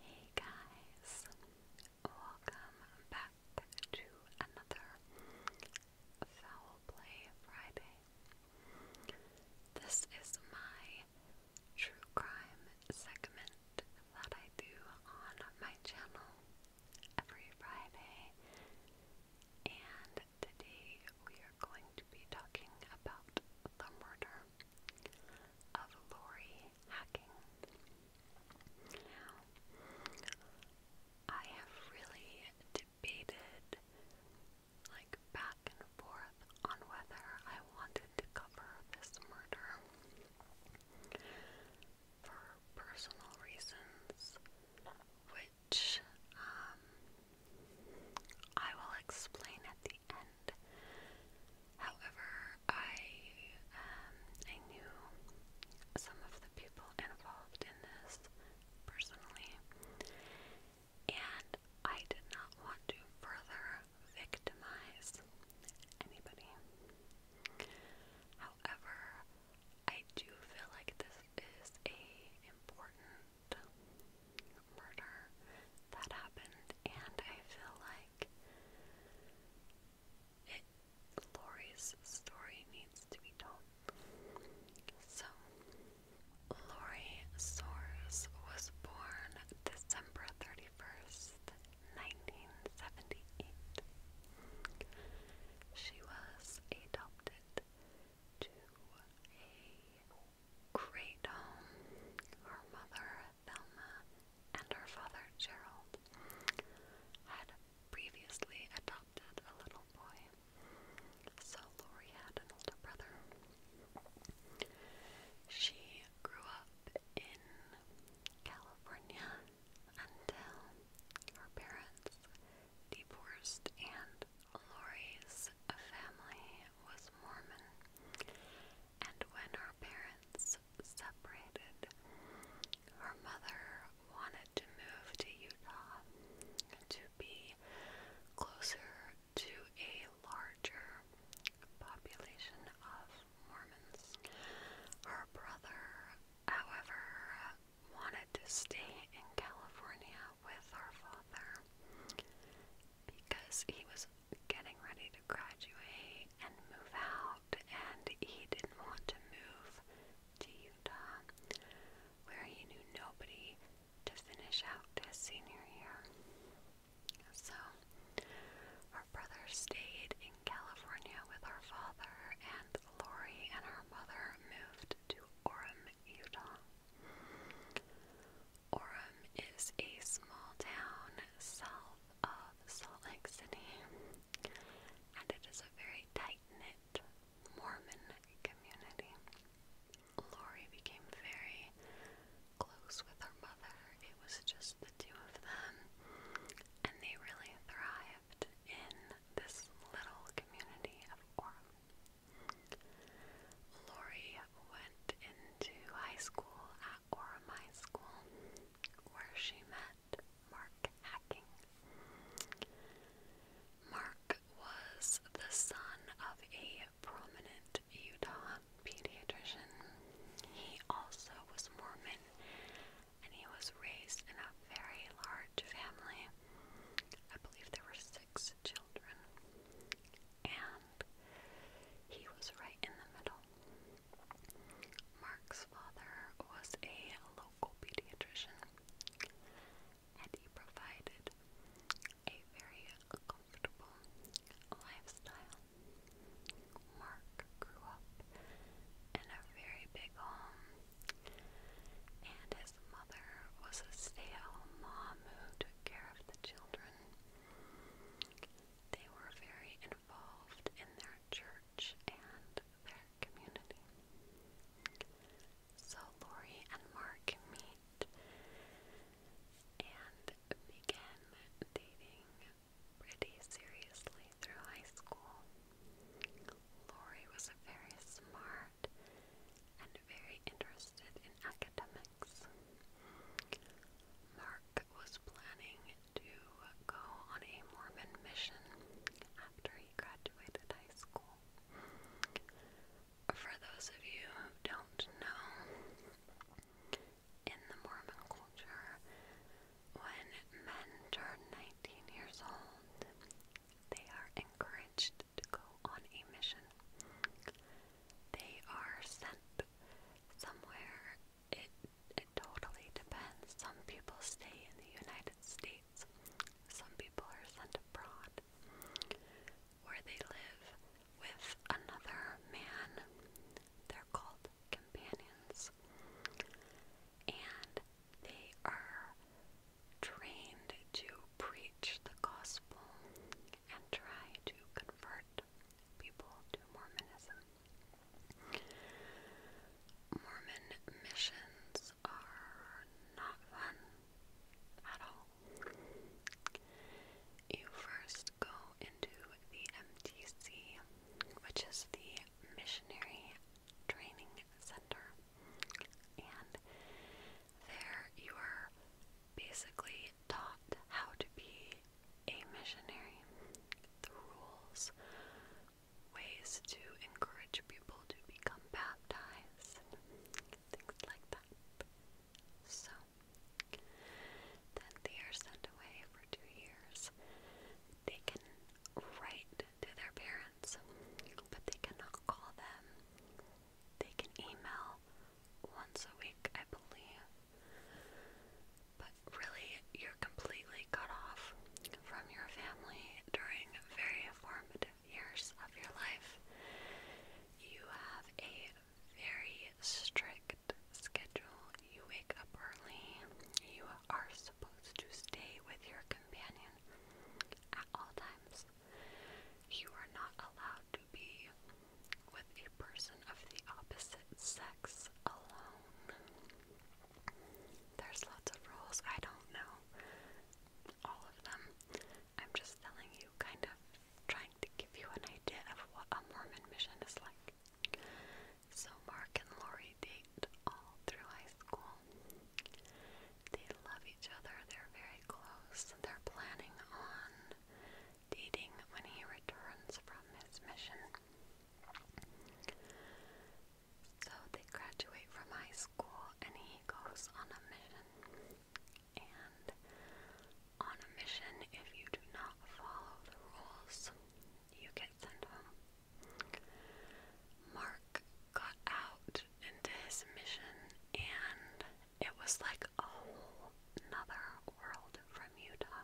Hey guys, welcome back to another Foul Play Friday. This is my true crime segment that I do on my channel every Friday, and today we are going to be talking about the murder of Lori hacking. Now, I have really debated, like, back and forth on whether I wanted to cover this murder. For personal reasons, which um, I will explain at the end However, I um, I knew some of the people involved in this personally, and I did not want to further victimize anybody. However, I do feel like this is a important murder that happened, and I feel like it, Lori's story needs to be told. So, Lori Soares was born December 31st, 1978. She was adopted to a great home. Her mother Thelma and her father Gerald had previously adopted a little boy, so Lori had an older brother. She grew up in California until her parents divorced and Lori's family was Mormon, and when her parents separated, her mother wanted to move to Utah to be closer to a larger population of Mormons. Her brother, however, wanted to stay in California with her father because he was getting ready to graduate and move out, and he didn't want to move to Utah, where he knew nobody to finish out his senior year. So, our brother stayed in California with our father, and Lori and her mother moved to Orem, Utah. Orem is a small town south of Salt Lake City, and it is a very tight knit Mormon community. Lori became very close with her mother, it was just the two of them, and they really thrived in this little community of Orem. Lori went into high school at Orem High School, where she met Mark Hacking. Mark was the son of a prominent Utah pediatrician. He also was Mormon, and he was raised in a very large family. I believe there were six children and he was right in the middle. Mark's father was a local pediatrician, and he provided a very comfortable lifestyle. Mark grew up in a very big home, and his mother was a stay mom who took care of the children. They were very involved in their church and their community. So Lori and Mark meet and begin dating pretty seriously through high school. Lori was very smart and very interested in academics. Mark was planning to go on a Mormon mission after he graduated high school. For those of you who don't know, in the Mormon culture, when men turn 19 years old, they are encouraged to go on a mission. They are sent somewhere. It it totally depends. Some people stay in the United States. Some people are sent abroad where they live with another man. They're called companions. And they are trained to preach the gospel and try to convert people to Mormonism. Mormon missions are not fun at all. You first go into the MTC, which is the Missionary Training Center, and there you are basically taught how to be a missionary. The rules, ways to encourage people to become baptized, things like that. So, then they are sent away for two years. They can write to their parents, but they cannot call them. They can email once a week, I believe. But really, you're completely cut off from your family during very formative years of your life. You have a very strict schedule. You wake up early. You are supposed to stay with your companion at all times. You are not allowed to be with a person of the opposite sex alone. There's lots of rules, I don't know all of them. I'm just telling you, kind of trying to give you an idea of what a Mormon mission is like. So, Mark and Lori date all through high school. They love each other, they're very close, they're planning on dating when he returns from his mission. So they graduate from high school and he goes on a mission. And on a mission, if you do not follow the rules, you get sent home. Mark got out into his mission and it was like a whole another world from Utah.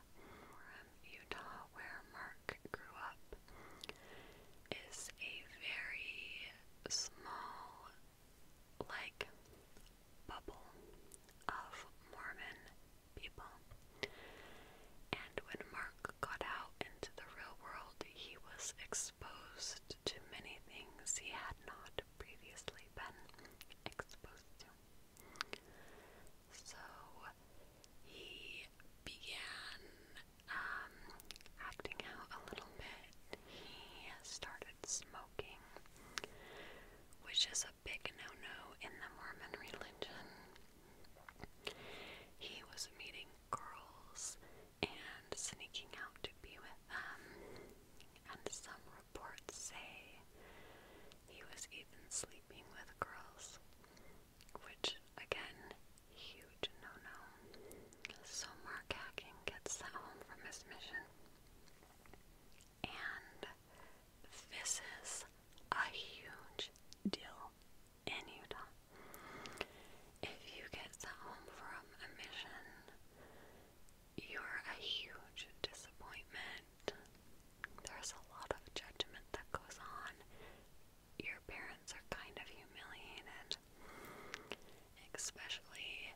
Utah, where Mark grew up, is a very small, like, bubble of Mormon people. And when Mark got out into the real world, he was exposed to many things he had not previously been exposed to. So he began um, acting out a little bit. He started smoking, which is a big no no in the Mormon religion. He was meeting girls and sneaking out to be with them, and some reports say he was even sleeping with girls, which, again, huge no no. So Mark Hacking gets sent home from his mission. And this is a huge deal in Utah. If you get sent home from a mission, you're a huge disappointment. There's a lot of judgment that goes on. Your parents are kind of humiliated, especially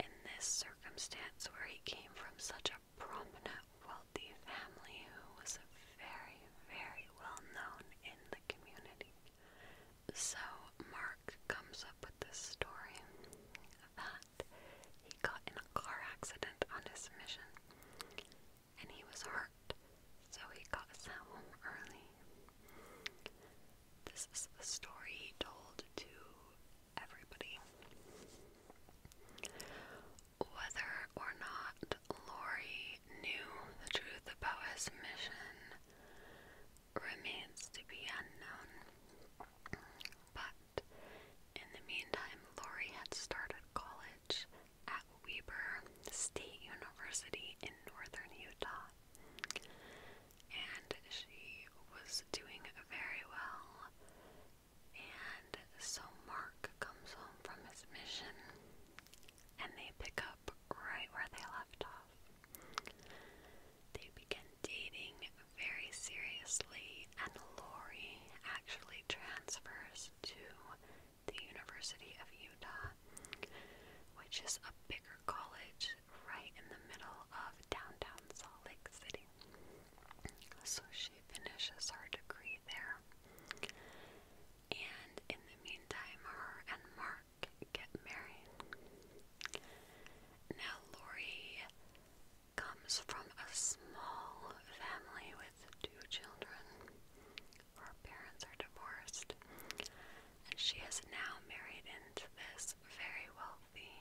in this circumstance where he came from such a prominent, wealthy family who was very, very well known in the community. So, Mark comes up with this story that he got in a car accident on his mission and he was hurt, so he got sent home early. This is the story he told to everybody. Whether or not Lori knew the truth about his mission remains to be unknown but in the meantime, Lori had started college at Weber State University in northern Utah, and she was doing very well. And so Mark comes home from his mission, and they pick up right where they left off. They began dating very seriously, and Lori actually transfers to the University of Utah, which is a bigger college right in the middle of downtown Salt Lake City. So she finishes her degree there. And in the meantime, her and Mark get married. Now, Lori comes from a small family with two children. Her parents are divorced, and she is now married into this very wealthy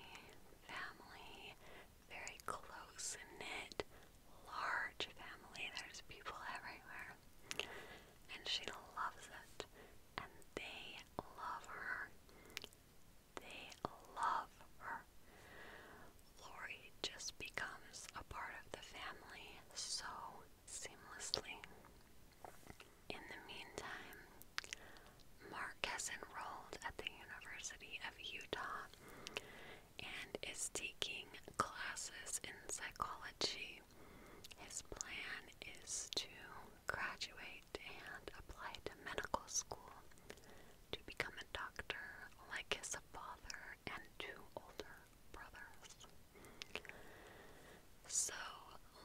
family, very close knit, large family. There's people everywhere, and she loves it, and they love her. They love her. Lori just becomes a part of the family so seamlessly. In the meantime, Mark has enrolled at the University of Utah and is taking classes in psychology. His plan is to graduate and apply to medical school to become a doctor like his father and two older brothers. So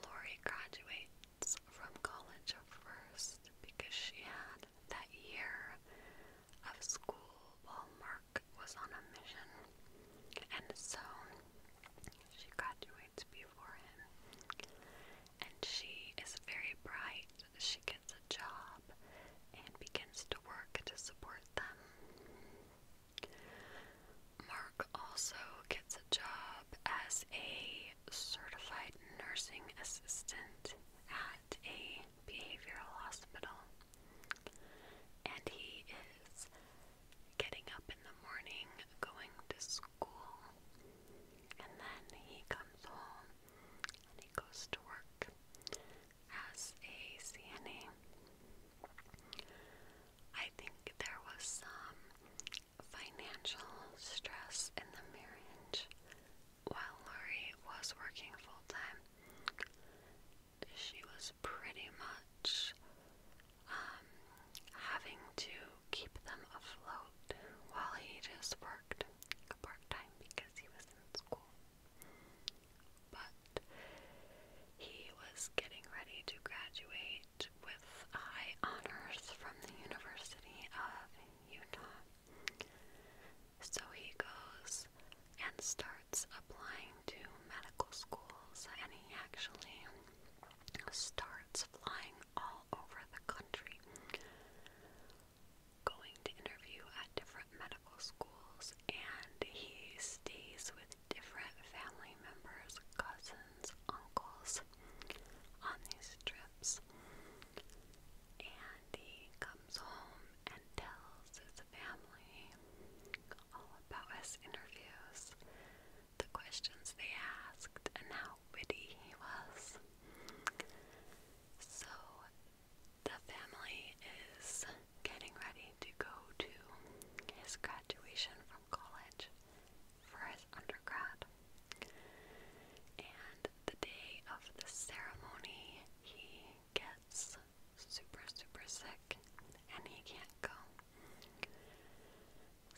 Lori graduates from college first because she had that year of school while Mark was on a mission, and so she graduates before him. And she is very bright she gets a job and begins to work to support them. Mark also gets a job as a certified nursing assistant at a behavioral hospital. And he is getting up in the morning, going to school and then he comes home and he goes to work as a CNA. I think there was some financial stress in the marriage while Lori was working full time. She was pretty much um, having to keep them afloat while he just worked part time because he was in school. But he was getting ready to graduate with high honors from the University of Utah. So he goes and starts applying to medical schools, and he actually starts flying all over the country, going to interview at different medical schools, and he stays with different family members, cousins, uncles on these trips. And he comes home and tells his family all about his interviews, the questions they asked, and how witty he was. So the family is getting ready to go to his graduation from college for his undergrad. And the day of the ceremony, he gets super, super sick and he can't go.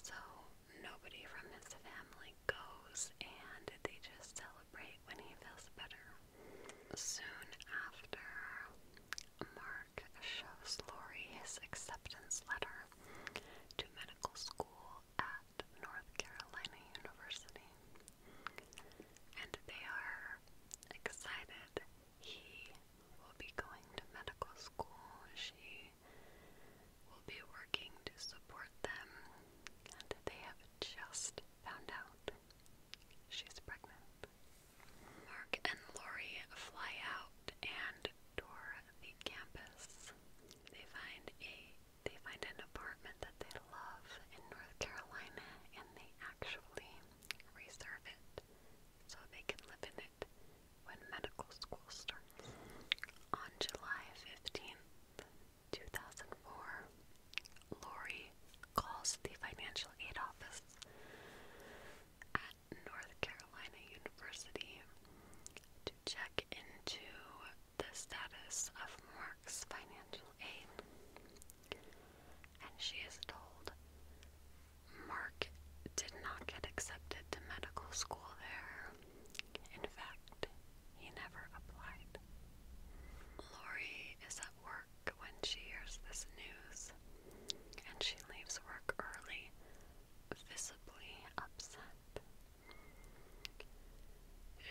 So nobody from this family goes, and they just celebrate when he feels better. Soon after, Mark shows Lori his acceptance letter to medical school at North Carolina University. And they are excited. He will be going to medical school. She we will be working to support them, and they have just found out she's pregnant. Mark and Lori fly out and tour the campus. They find a they find an apartment that they love in North Carolina and they actually reserve it so they can live in it when medical school starts. On July 15th, 2004, Lori calls the financial aid office at North Carolina University to check into the status of Mark's financial aid, and she is told Mark did not get accepted to medical school there in fact, he never applied. Lori is at work when she hears this news, and she leaves work early, visibly upset.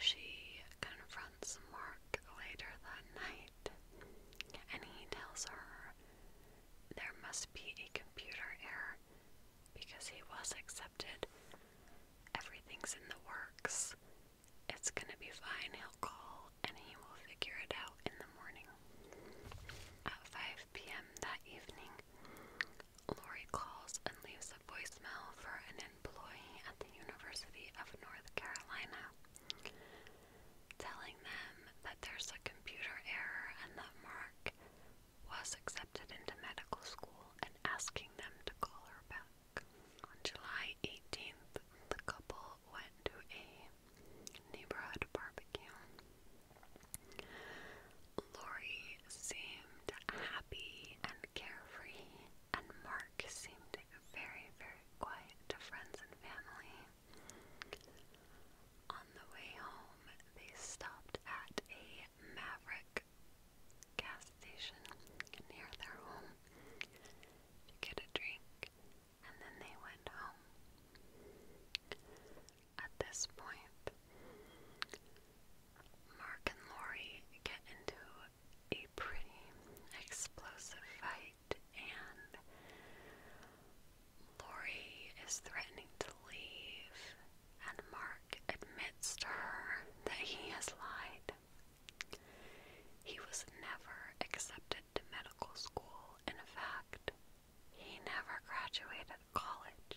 She confronts Mark later that night, and he tells her there must be a computer error because he was accepted accepted. Everything's in the works. It's gonna be fine. He'll call and he will figure it out in the morning. At 5 p.m. that evening, Lori calls and leaves a voicemail for an employee at the University of North Carolina, telling them that there's a computer error and that Mark was accepted into medical school and asking them to call her back. On July 18th, the couple went to a neighborhood barbecue. Lori seemed happy and carefree, and Mark seemed very, very quiet to friends and family. On the way home, they stopped at a Maverick gas station near their home to get a drink, and then they went home. At this point, Mark and Lori get into a pretty explosive fight, and Lori is threatening to leave and Mark admits to her that he has lied. He was never accepted to medical school, in fact, he never graduated college.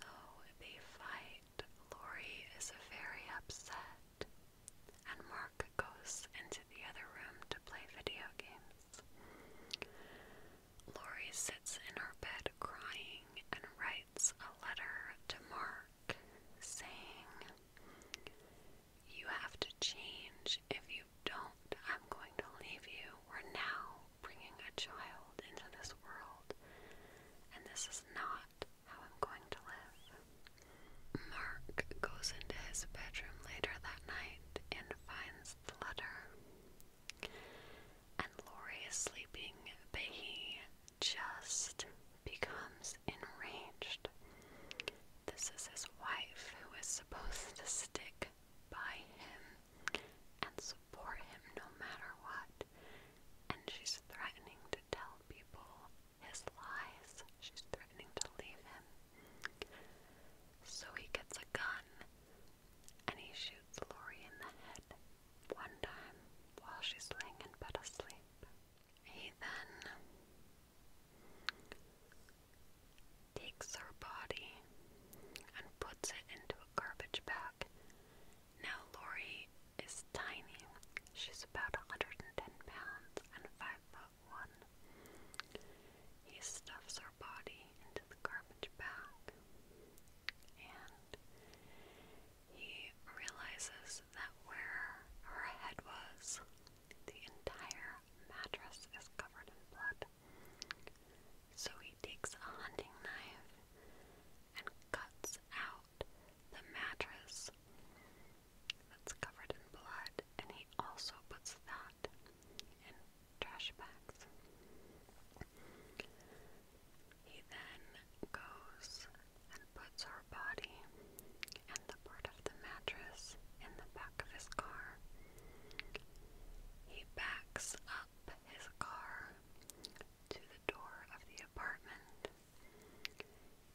So they fight. Lori is very upset, and Mark goes into the other room to play video games. Lori sits in her bed crying and writes a letter to Mark saying, You have to change. If you don't, I'm going to leave you. We're now bringing a child into this world, and this is not how I'm going to live. Mark goes into his bedroom later that night and finds the letter. And Laurie is sleeping, but he just becomes enraged. This is his wife who is supposed to stick by him and support him no matter what. And she's threatening to tell people his lies. She's threatening to leave him. So he gets a gun and he shoots Lori in the head one time while she's laying in bed asleep. He then takes her body and puts it into a garbage bag. Now, Lori is tiny. She's about 110 pounds and 5 foot 1. He stuffs her body into the garbage bag and he realizes that where her head was, the entire mattress is covered in blood. So he takes a hunting knife and cuts out the mattress that's covered in blood, and he also puts that and trash bags. He then goes and puts her body and the part of the mattress in the back of his car. He backs up his car to the door of the apartment.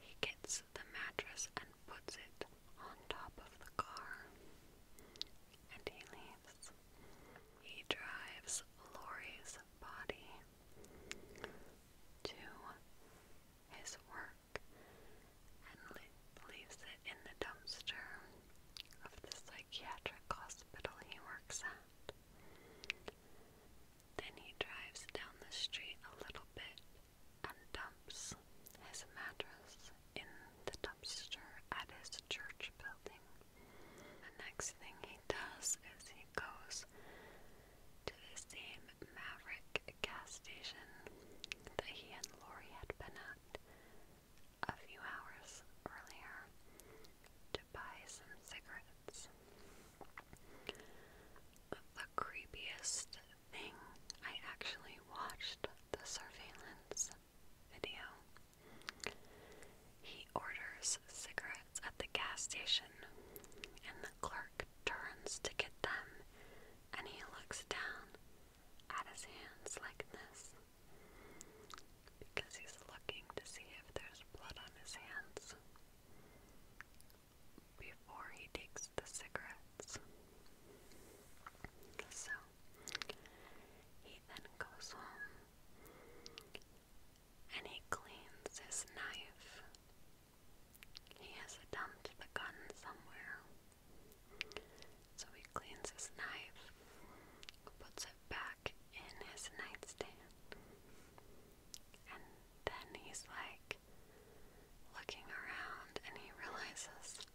He gets the mattress and puts it on top of the car and he leaves. He drives Lori's body to his work and leaves it in the dumpster of the psychiatric hospital he works at. Then he drives down the street a little bit and dumps his mattress in the dumpster at his church building. The next thing he does is he goes to the same Maverick gas station that he and Lori had been at a few hours earlier to buy some cigarettes. The creepiest thing I actually watched the surveillance video he orders cigarettes at the gas station, and the clerk turns to get them, and he looks down at his hands like this because he's looking to see if there's blood on his hands before he takes the cigarettes. So he then goes home and he cleans his knife. He has dumped the gun somewhere. So he cleans his knife, puts it back in his nightstand, and then he's like looking around and he realizes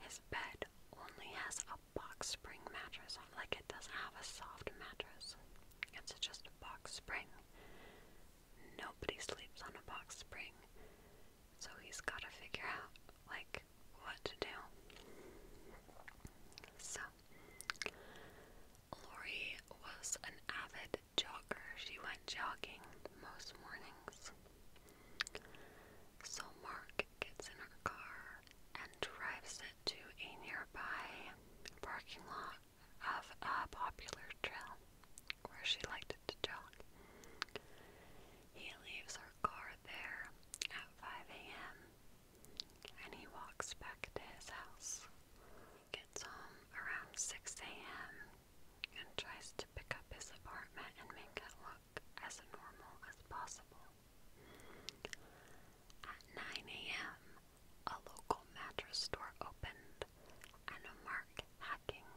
his bed only has a box spring mattress like it doesn't have a soft mattress. It's just a box spring. Nobody sleeps on a box spring. So he's got to figure out, like, what to do. So, Lori was an avid jogger. She went jogging most mornings. So Mark gets in her car and drives it to a nearby parking lot of a popular trail where she liked to jog. He leaves her car there at 5 a.m. and he walks back to his house. He gets home around 6 a.m. and tries to pick up his apartment and make it look as normal as possible. At 9 a.m., a local mattress store opened, and Mark Hacking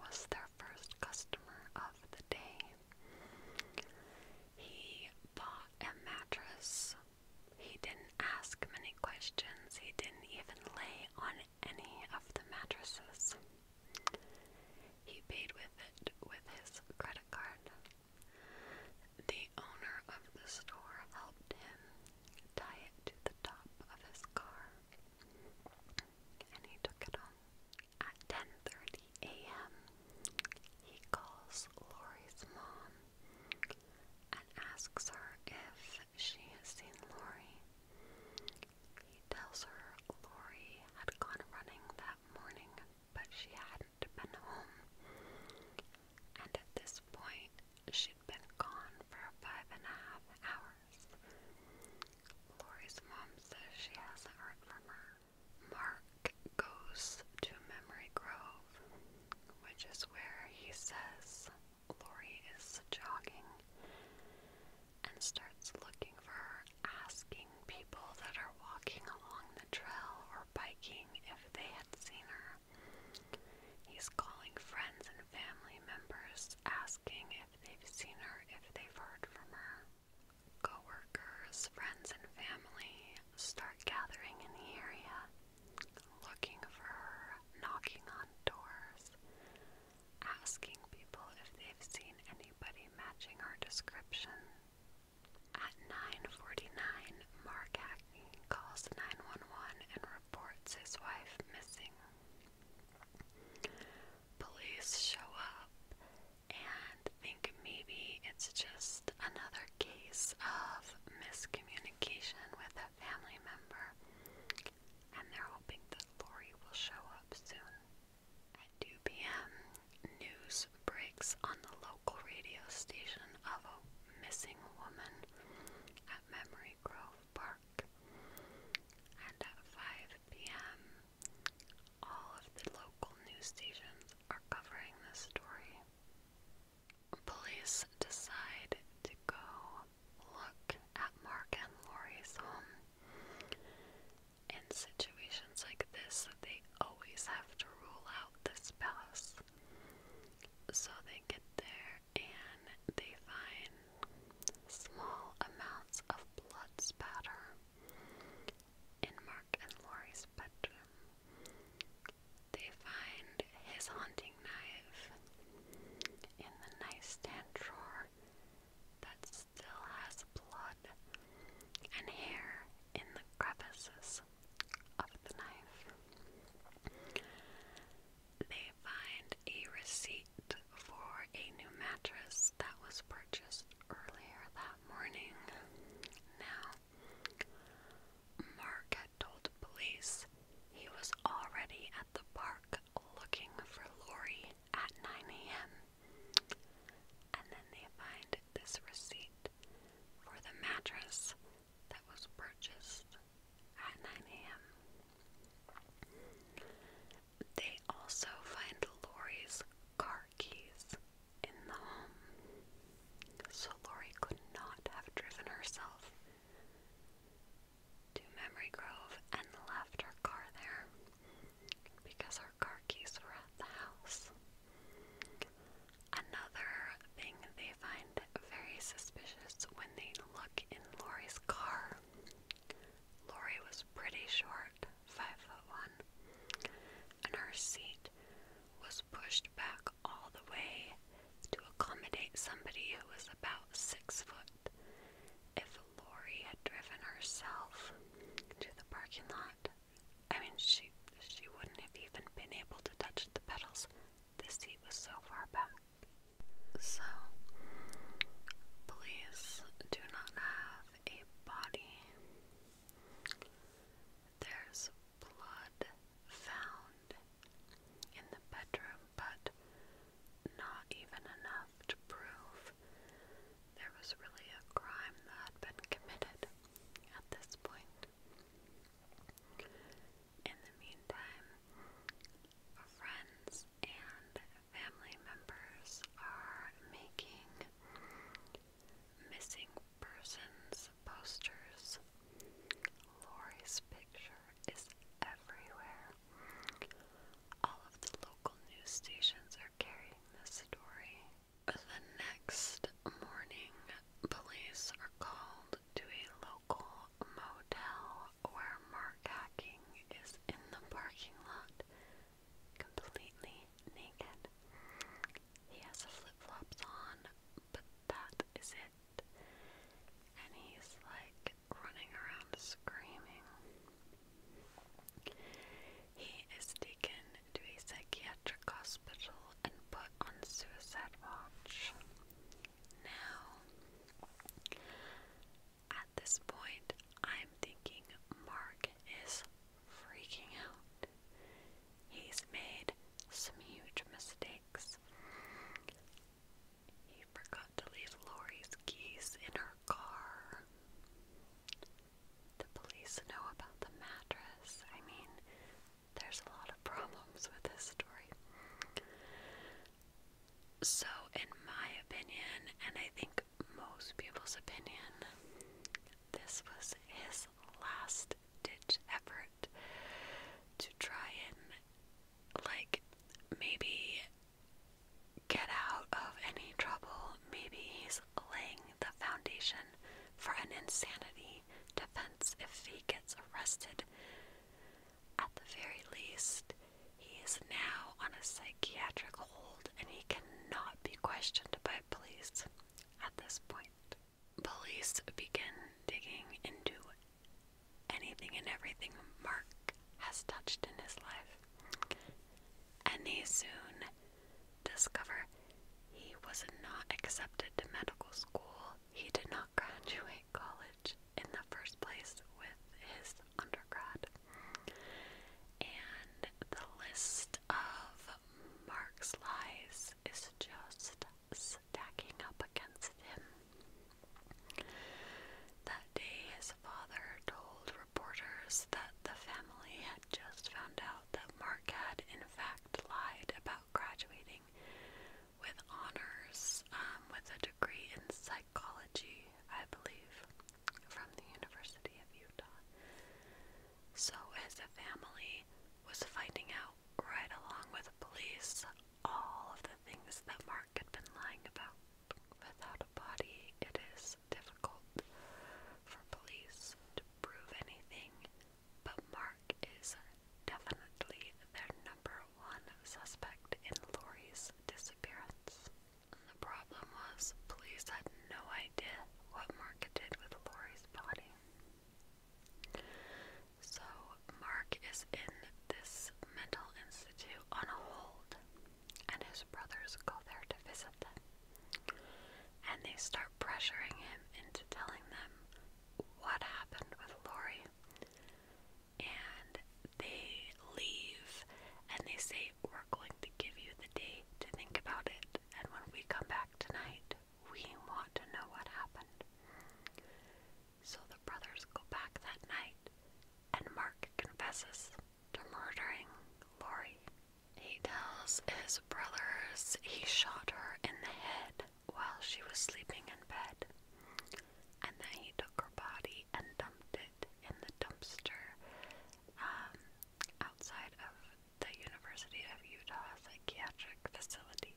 was their first customer of the day. He bought a mattress. He didn't ask many questions. He didn't even lay on any of the mattresses. He paid with it with his credit card. The owner of the store helped him tie it to the top of his car, and he took it home. At 10:30 a.m., he calls Lori's mom and asks her if she has seen Lori. He tells her Lori had gone running that morning but she hadn't been home. And at this point, she'd been gone for five and a half hours. Lori's mom says she hasn't heard from her. Mark goes to Memory Grove, which is where he says Lori is jogging and starts looking for her, asking people that are walking along the trail or biking if they had seen her. He's calling friends and family members, asking if they've seen her, if they've heard from her. Coworkers, friends, and family start gathering in the area, looking for her, knocking on doors, asking people if they've seen anybody matching our description. At 9:49, Mark Hackney calls 911 and reports his wife missing. Police show up and think maybe it's just another case of miscommunication with a family member, and they're hoping that Lori will show up soon. At 2 p.m., news breaks on the local radio station of a missing woman at Memory Grove Park. And at 5 p.m., all of the local news stations are covering this story. Police decide to go look at Mark and Lori's home in situations like this that they always have to rule out this pass. So they get there and they find small amounts of blood spatter in Mark and Lori's bedroom. They find his hunting knife in the nightstand drawer that's still has blood and hair in the crevices of the knife. They find a receipt for a new mattress that was purchased earlier that morning. Now, Mark had told police he was already at the park looking for Lori at 9 a.m. And then they find this receipt for the mattress that was purchased at 9 a.m. They also find Lori's car keys in the home. So Lori could not have driven herself to Memory Grove and left her car there because our car keys were at the house. Another thing they find very suspicious when they look in Lori's car. Lori was pretty short, five foot one, and her seat was pushed back all the way to accommodate somebody who was about six foot. If Lori had driven herself to the parking lot. I mean, she she wouldn't have even been able to touch the pedals. The seat was so far back. So, please do not have a body. There's blood found in the bedroom, but not even enough to prove there was really a crime that had been committed at this point. In the meantime, friends and family members are making missing persons posters. Lori's picture is everywhere. All of the local news stations are carrying this story. The next morning, police are called to a local motel where Mark Hacking is in the parking lot, completely naked. He has flip flops on, but that is it. And he's like running around screaming. He is taken to a psychiatric hospital and put on suicide watch. Now, at this point, I'm thinking Mark is freaking out. He's made some huge mistakes. He forgot to leave Lori's keys in her car the police know about the mattress. I mean, there's a lot of problems with this story. So, in my opinion, and I think most people's opinion, this was his last ditch effort to try and, like, maybe get out of any trouble, maybe he's laying the foundation for an insanity defense if he gets arrested. At the very least, he is now on a psychiatric hold and he cannot be questioned by police at this point. Police begin digging into anything and everything Mark has touched in his life and he soon discover he was not accepted to medical school. He did not graduate college in the first place with his undergrad. And the list of Mark's lies is just stacking up against him. That day, his father told reporters that the family had just found out that Mark had, in fact, lied about graduating with honors um, with a degree in psychology, I believe, from the University of Utah. So his family was finding out right along with police all of the things that Mark had been lying about. Without a body, it is difficult for police to prove anything, but Mark is definitely their number one suspect in Lori's disappearance. The problem was, police had no idea what Mark did with Lori's body. So, Mark is in this mental institute on a hold and his brothers go there to visit them. And they start pressuring him into telling them what happened with Lori. And they leave and they say, We're going to give you the day to think about it. And when we come back tonight, we want to know what happened. So the brothers go back that night, and Mark confesses to murdering Lori. He tells his brothers he shot her in the head while she was sleeping in bed, and then he took her body and dumped it in the dumpster um, outside of the University of Utah psychiatric facility.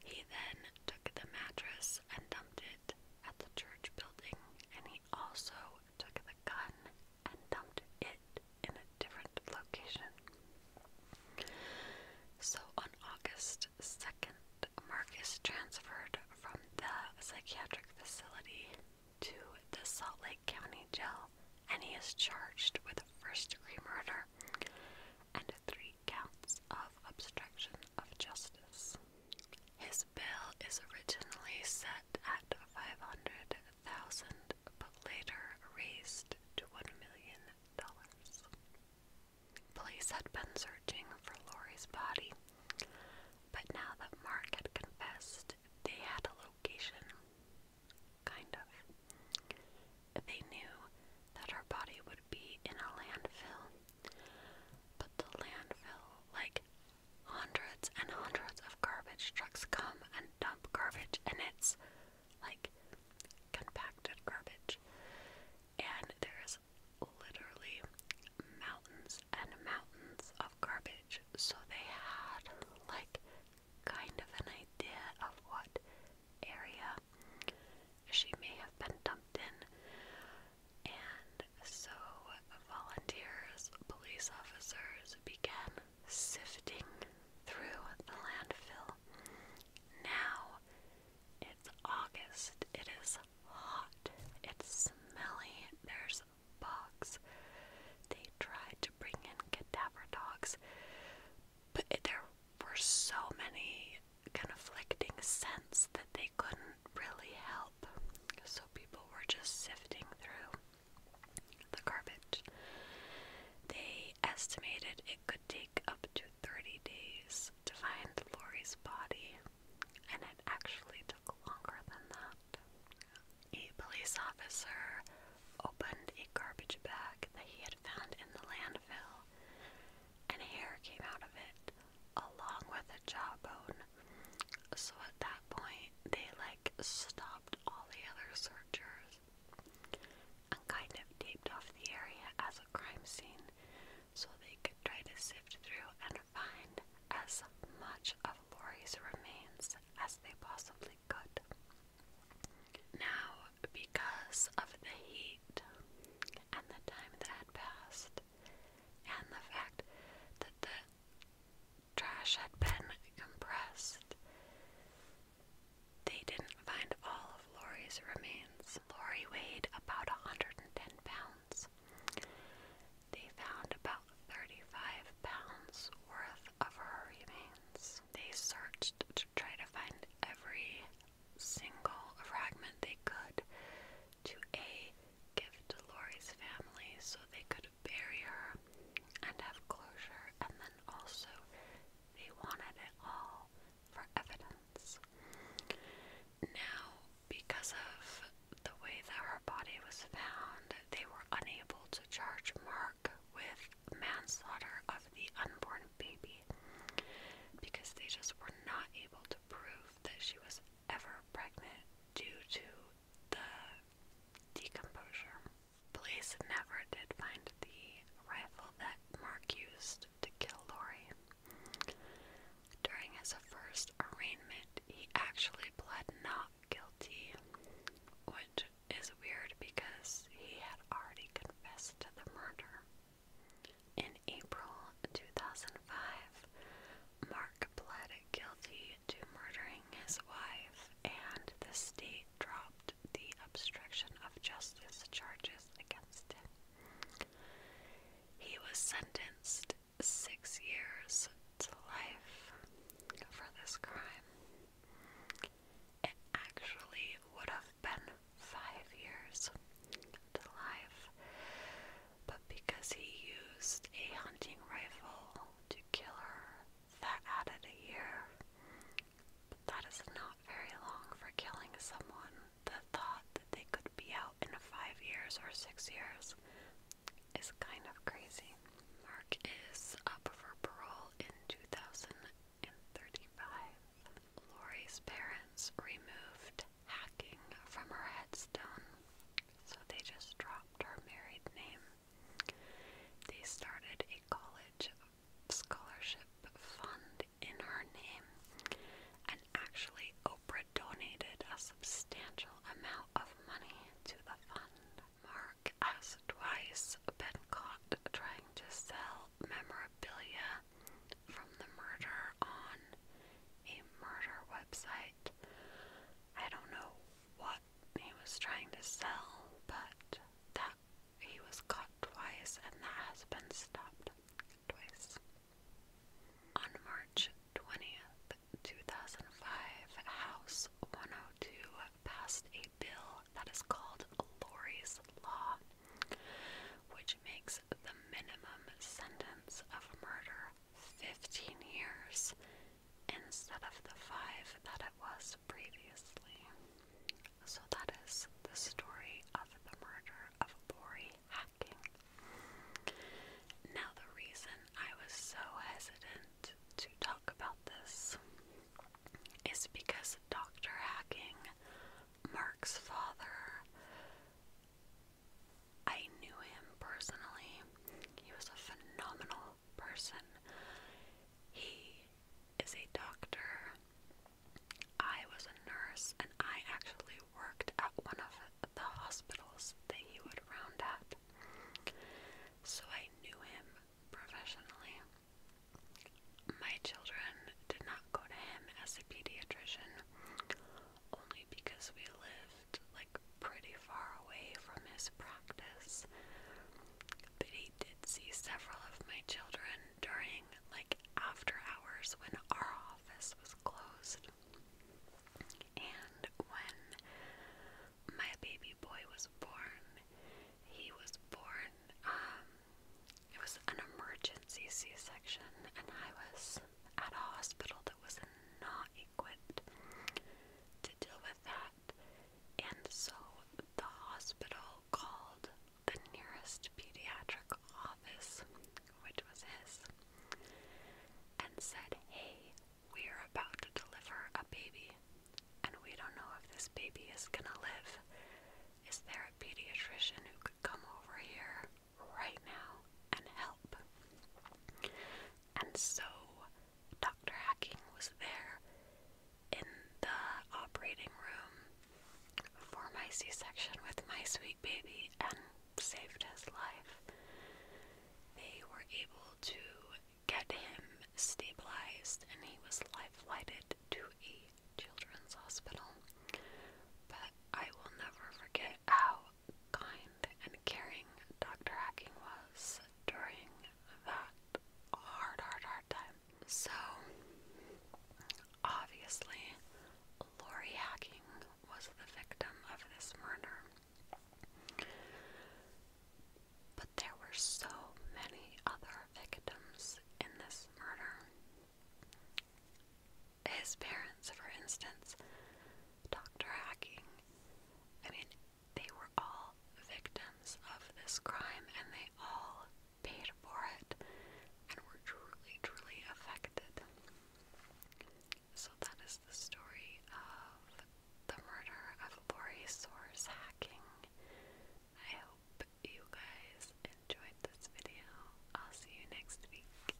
He then took the mattress and dumped it at the church building, and he also took the gun and dumped it in a different location. So on August 2nd, Marcus transferred from the psychiatric facility to the Salt Lake County Jail and he is charged with first degree murder and three counts of obstruction of justice. His bill is originally set at 500,000 but later raised to 1 million dollars. Police had been searching for Laurie's body, but now that Mark had confessed, they had a location. Kind of. They knew that her body would be in a landfill, but the landfill, like hundreds and hundreds of garbage trucks come and dump garbage, and it's like compacted garbage. And there's literally mountains and mountains of garbage. So they had like kind of an idea of what area she may have been dumped in. And so volunteers, police officers began sifting through the landfill. Now it's August. It is hot. It's smelly. There's bugs. They tried to bring in cadaver dogs, but there were so many conflicting scents that they couldn't really help. So people were just sifting through the garbage. They estimated it could take up to 30 days to find Lori's body, and it actually took longer than that. A police officer opened a garbage bag that he had found in the landfill, and hair came out of it along with a jawbone. So at that point, they like stopped all the other searchers and kind of taped off the area as a crime scene so they could try to sift through and find as much of Lori's remains as they possibly could. Now, because of the heat and the time that had passed, and the fact that the trash had been compressed. They didn't find all of Lori's remains. Lori weighed about 110 pounds. They found about 35 pounds worth of her remains. They searched to try to find every single fragment they could to A, give to Lori's family so they could bury her and have closure, and then also they wanted it all for evidence. Now, because of the way that her body was found, they were unable to charge Mark with manslaughter of the unborn baby because they just were not able to prove that she was ever pregnant due to the decomposure. Police never did find the rifle that Mark used to kill Lori. During his first arraignment, he actually pled not guilty, which is weird because he had already confessed to the murder. In April in 2005, Mark pled guilty to murdering his wife, and the state dropped the obstruction of justice charges against him. He was sentenced six years to life for this crime. It actually would have been five years to life, but because he used a hunting rifle to kill her, that added a year. But that is not very long for killing someone. The thought that they could be out in five years or six years is kind of crazy. Mark is up for parole in 2035. Lori's parents removed hacking from her headstone, so they just dropped her married name. They started a college scholarship fund in her name, and actually, Oprah donated a substantial amount of money to the fund. Mark has twice been caught trying to sell memorabilia from the murder on a murder website. I don't know what he was trying to sell, but that he was caught twice and that has been stopped twice. On March 20th, 2005, House 102 passed a bill that is called Lori's Law, which makes the minimum sentence of murder 15 years instead of the five that it was previously. So that is the story of the murder of Bori Hacking. Now, the reason I was so hesitant to talk about this is because Dr. Hacking, Mark's father, I knew him personally. He was a phenomenal person. He is a doctor. I was a nurse, and I actually worked at one of the hospitals that he would round at. So I knew him professionally. My children did not go to him as a pediatrician only because we lived like pretty far away from his practice. But he did see several of my children during like after hours when our office was closed. And when my baby boy was born, he was born, um, it was an emergency C section, and I was at a hospital that was not equipped to deal with that. And so the hospital called the nearest pediatric office, which was his, and said, Hey, we're about to deliver a baby, and we don't know if this baby is gonna live. Is there a pediatrician who could come over here right now and help. And so Dr. Hacking was there in the operating room for my C section with my sweet baby and saved his life. They were able to get him stabilized and he was life flighted to a children's hospital. But I will never forget how kind and caring Dr. Hacking was during that hard, hard, hard time. So, obviously, Lori Hacking was the victim of this murder. But there were so many other victims in this murder his parents, for instance, Dr. Hacking, I mean, they were all victims of this crime and they all paid for it and were truly, truly affected. So that is the story of the murder of Lori Soares Hacking. I hope you guys enjoyed this video. I'll see you next week.